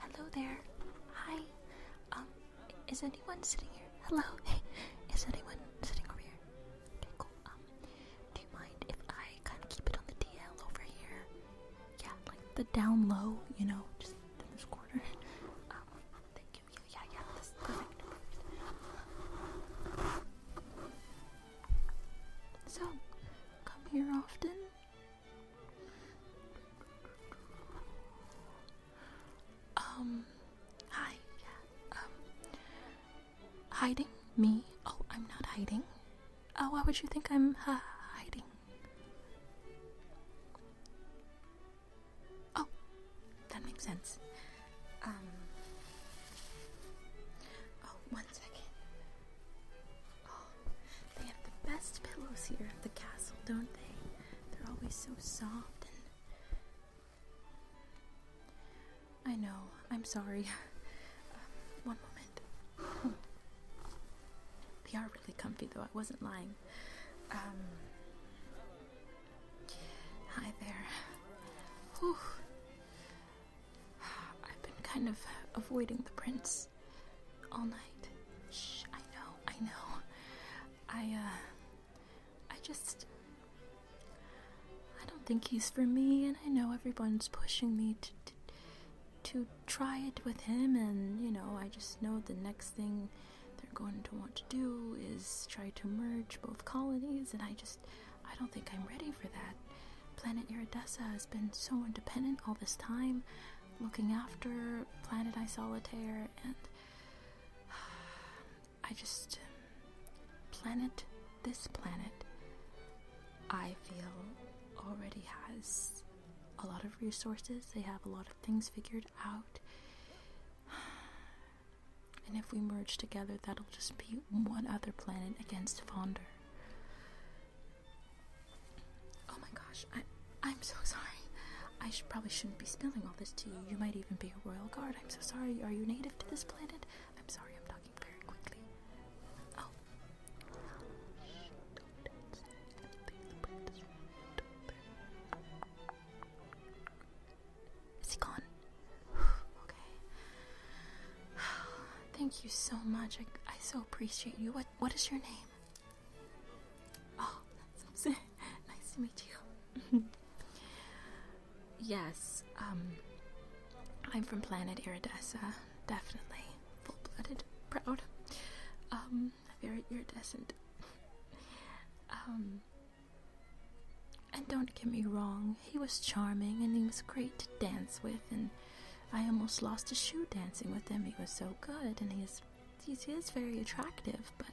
Hello there. Hi. Um, is anyone sitting here? Hello. Hey, is anyone sitting over here? Um, do you mind if I kind of keep it on the DL over here? Yeah, like the down low, you know, just in this corner. Um, thank you. Yeah, yeah, So, come here often. Um, hi, um, Hiding? Me? Oh, I'm not hiding. Oh, why would you think I'm hiding? Oh, that makes sense. Um. Oh, one second. Oh, they have the best pillows here at the castle, don't they? They're always so soft and. I know. I'm sorry. Um, one moment. they are really comfy, though. I wasn't lying. Um, hi there. Whew. I've been kind of avoiding the prince all night. Shh, I know, I know. I, uh, I just. I don't think he's for me, and I know everyone's pushing me to, to, try it with him, and you know, I just know the next thing they're going to want to do is try to merge both colonies, and I just, I don't think I'm ready for that. Planet Iridessa has been so independent all this time, looking after Planet Eye Solitaire, and I just. Um, Planet this planet, I feel already has a lot of resources. They have a lot of things figured out. And if we merge together, that'll just be one other planet against Fonder. Oh my gosh, I, I'm so sorry. I probably shouldn't be spilling all this to you. You might even be a royal guard. I'm so sorry. Are you native to this planet? I'm sorry, I'm talking Oh. Is he gone? okay. Thank you so much. I, I so appreciate you. What What is your name? Oh, that's nice to meet you. Yes, um, I'm from planet Iridessa, definitely. Full blooded, proud, um, very iridescent. Um, and don't get me wrong, he was charming and he was great to dance with, and I almost lost a shoe dancing with him. He was so good, and he is, he is very attractive, but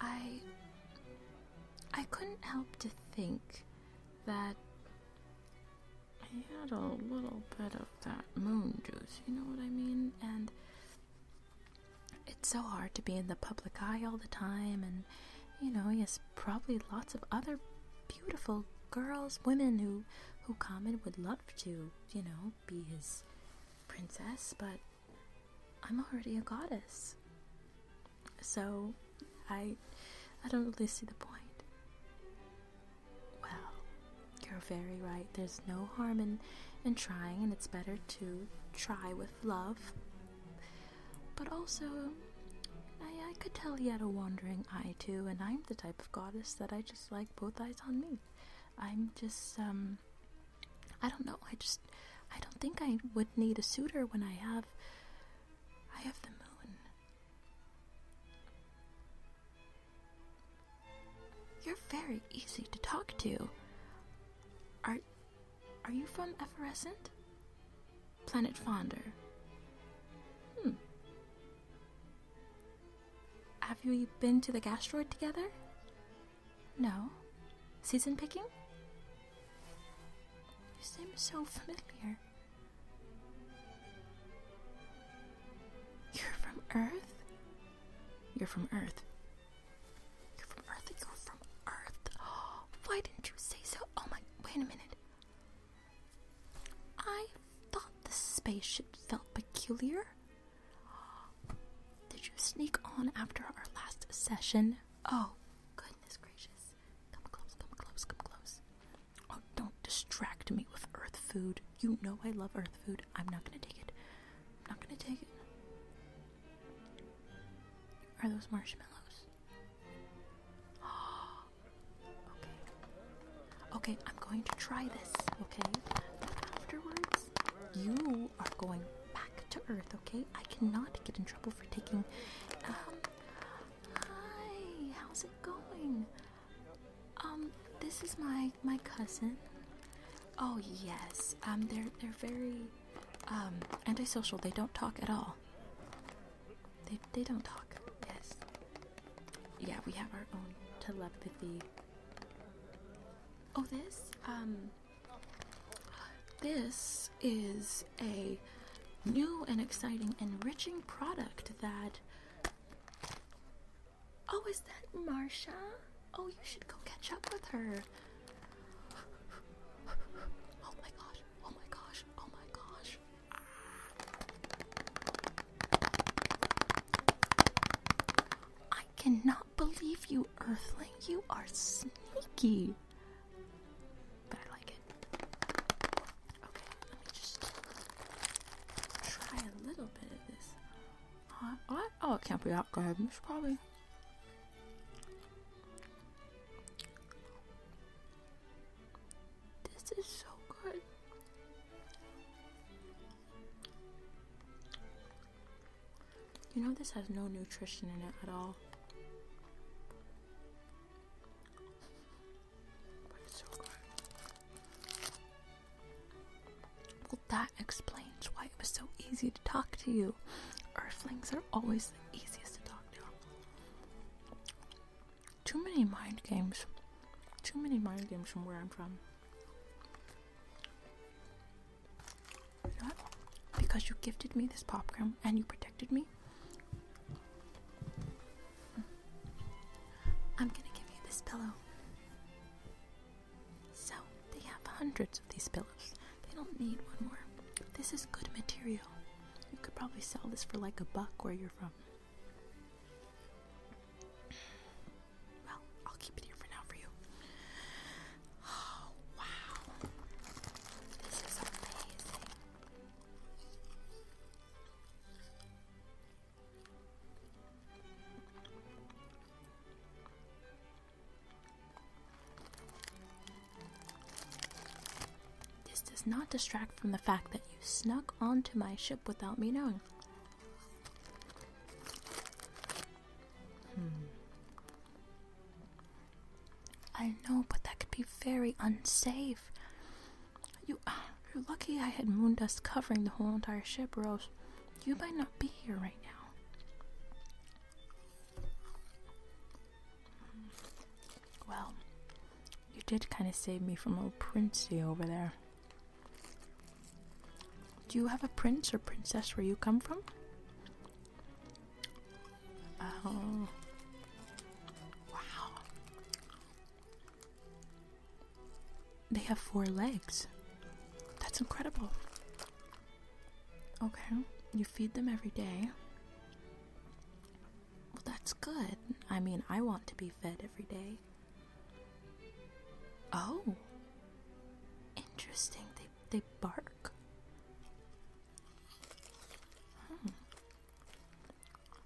I. I couldn't help to think that he had a little bit of that moon juice, you know what I mean? And it's so hard to be in the public eye all the time, and you know, he has probably lots of other beautiful girls, women who who and would love to, you know, be his princess, but I'm already a goddess. So, I, I don't really see the point. Well, you're very right. There's no harm in, in trying, and it's better to try with love. But also, I, I could tell he had a wandering eye too, and I'm the type of goddess that I just like both eyes on me. I'm just, um, I don't know. I just, I don't think I would need a suitor when I have I have the moon. You're very easy to talk to. Are are you from Effervescent? Planet Fonder. Hmm. Have you been to the gastroid together? No. Season picking? You seem so familiar. You're from Earth? You're from Earth. You're from Earth. You're from Earth. Why didn't you say so? Oh my. Wait a minute. I thought the spaceship felt peculiar. Did you sneak on after our last session? Oh, goodness gracious. Come close, come close, come close. Oh, don't distract me with earth food. You know I love earth food. I'm not gonna take it. I'm not gonna take it. Are those marshmallows? okay. Okay, I'm going to try this, okay? afterwards, you are going back to Earth, okay? I cannot get in trouble for taking um, Hi, how's it going? Um, this is my my cousin. Oh yes. Um, they're they're very um, antisocial. They don't talk at all. They they don't talk. Yes. Yeah, we have our own telepathy. Oh, this um. This is a new and exciting, enriching product that. Oh, is that Marcia? Oh, you should go catch up with her. Oh my gosh, oh my gosh, oh my gosh. I cannot believe you, Earthling. You are sneaky. But I like it. Okay, let me just try a little bit of this. Uh, oh, oh, it can't be that good. It's probably. This is so good. You know, this has no nutrition in it at all. Well, that explains why it was so easy to talk to you. Earthlings are always the easiest to talk to. Too many mind games. Too many mind games from where I'm from. Because you gifted me this popcorn and you protected me, I'm gonna give you this pillow. So, they have hundreds of these pillows. They don't need one more. This is good material. You could probably sell this for like a buck where you're from. Well, I'll keep it here for now for you. Oh, wow. This is amazing. This does not distract from the fact that you snuck onto my ship without me knowing. Hmm. I know, but that could be very unsafe. You, you're lucky I had moon dust covering the whole entire ship, Rose. You might not be here right now. Well, you did kind of save me from old Princey over there. Do you have a prince or princess where you come from? Oh. Wow. They have four legs. That's incredible. Okay, you feed them every day. Well, that's good. I mean, I want to be fed every day. Oh. Interesting. They they bark. Hmm.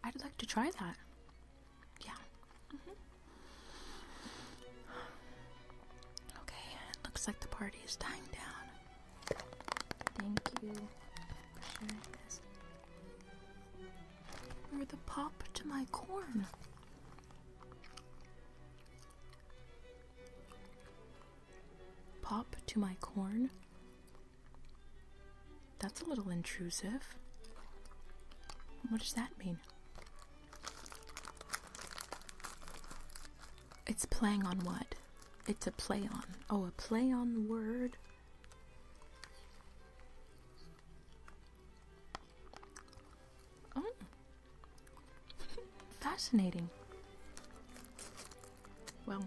I'd like to try that. Yeah. Mm-hmm. Okay, looks like the party is dying down. Thank you for sharing this. you the pop to my corn. Pop to my corn. That's a little intrusive. What does that mean? It's playing on what? It's a play on. Oh, a play on word. Oh. Fascinating. Well,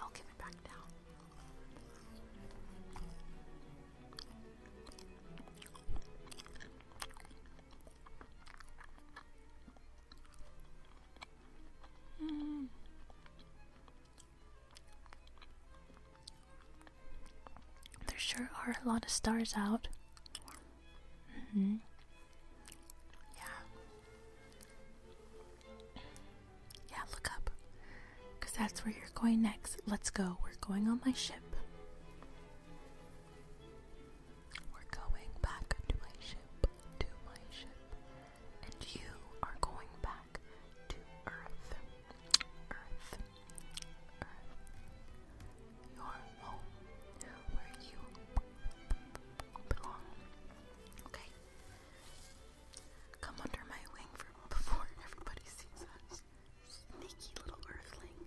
I'll give it back down. Hmm. There sure are a lot of stars out. -hmm. Yeah. Yeah, look up. Because that's where you're going next. Let's go. We're going on my ship. We're going back to my ship. To my ship. And you are going back to Earth. Earth. Earth. Your home. Where you belong. Okay. Come under my wing for before everybody sees us. Sneaky little earthling.